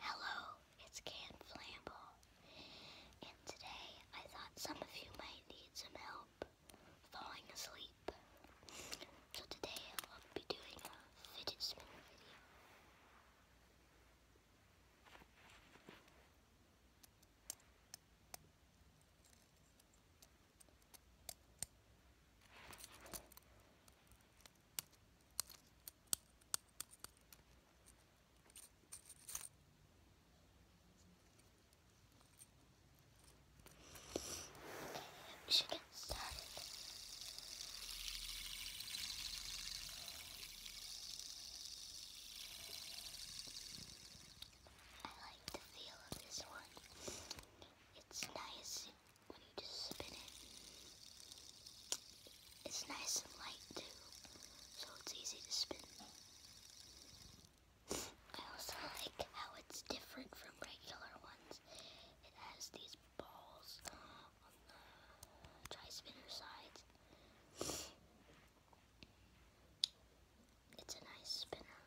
Hello, it's Can Flamble, and today I thought some of you might need some help falling asleep. So today I'll be doing a fidget spinner video. We should get started. I like the feel of this one. It's nice when you just spin it. It's nice and light too, so it's easy to spin. I also like how it's different from regular ones. It has these balls on the tri-spinner sides. It's a nice spinner.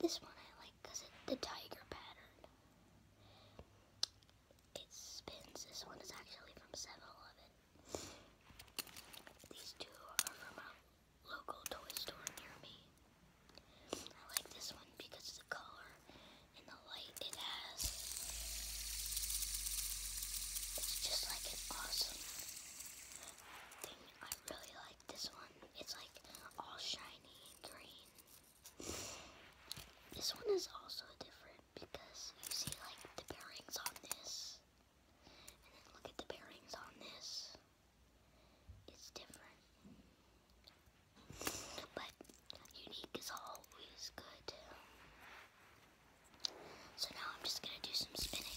This one I like because it's the tiger pattern. It spins. This one is actually from Seven Eleven. These two are from a local toy store near me. I like this one because of the color and the light it has. It's just like an awesome thing. I really like this one. It's like all shiny green. This one is also different because you see like the bearings on this. And then look at the bearings on this. It's different. But unique is always good. So now I'm just gonna do some spinning.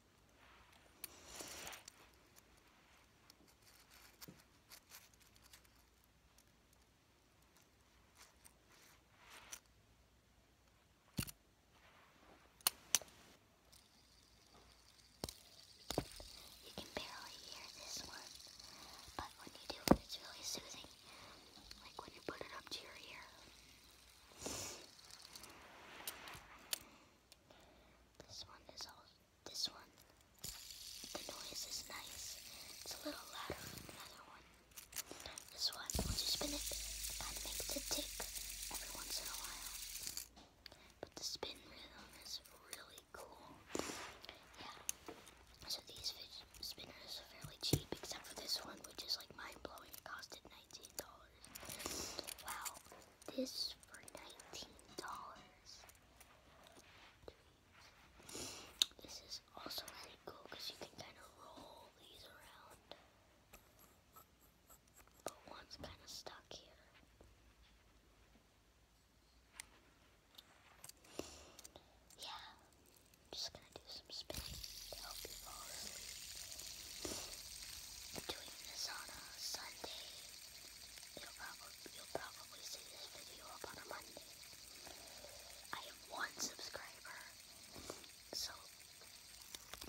You can barely hear this one, but when you do it's really soothing, like when you put it up to your ear. This one is all. This one. The noise is nice. It's a little louder than the other one. This one, once you spin it, I make it tick every once in a while. But the spin rhythm is really cool. Yeah. So these spinners are fairly cheap, except for this one, which is like mind blowing. It costed $19. Wow, this for $19. This is also really cool because you can kind of roll these around. But one's kind of stuck here. Yeah, I'm just gonna do some spinning to help you fall asleep. I'm doing this on a Sunday. You'll probably, see this video on a Monday. I have one subscriber, so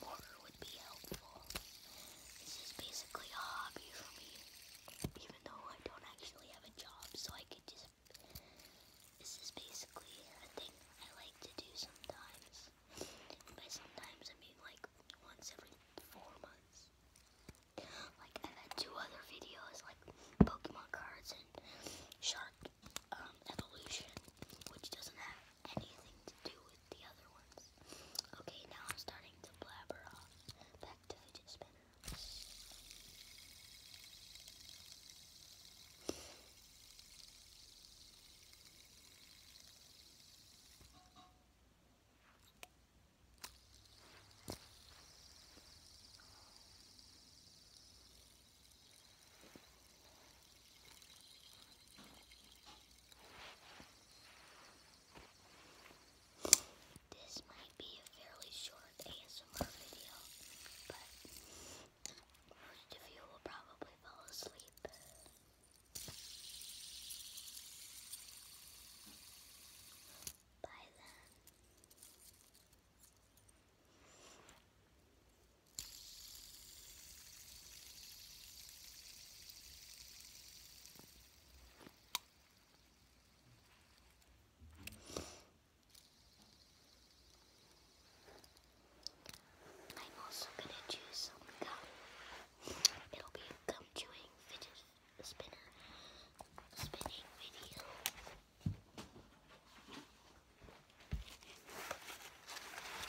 more would be helpful. This is basically a hobby for me, even though I don't actually have a job, so I could just this is basically a thing I like to do sometimes. By sometimes I mean like once every four months. Like I've had two other videos like Pokemon cards and Shark um, Evolution, which doesn't have anything to do with the other ones. Okay, now I'm starting to blabber off. Back to fidget spinners. This might be a fairly short ASMR summer video, but most you will probably fall asleep. By then. I'm also gonna choose some gum. It'll be a gum chewing fidget spinner spinning video.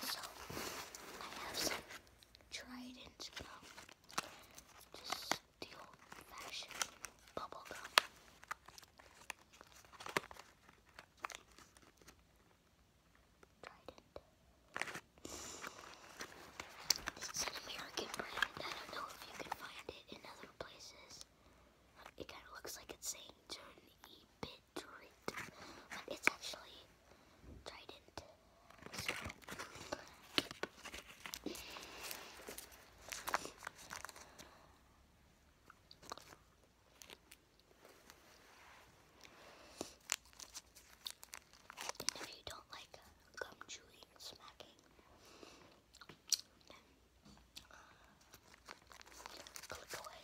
So I have some trident gum. Just the old bubble gum. Trident. This is an American brand. I don't know if you can find it in other places. It kind of looks like it's saying turn e bit but it's actually Trident. So. And if you don't like uh, gum chewing and smacking, uh, click away.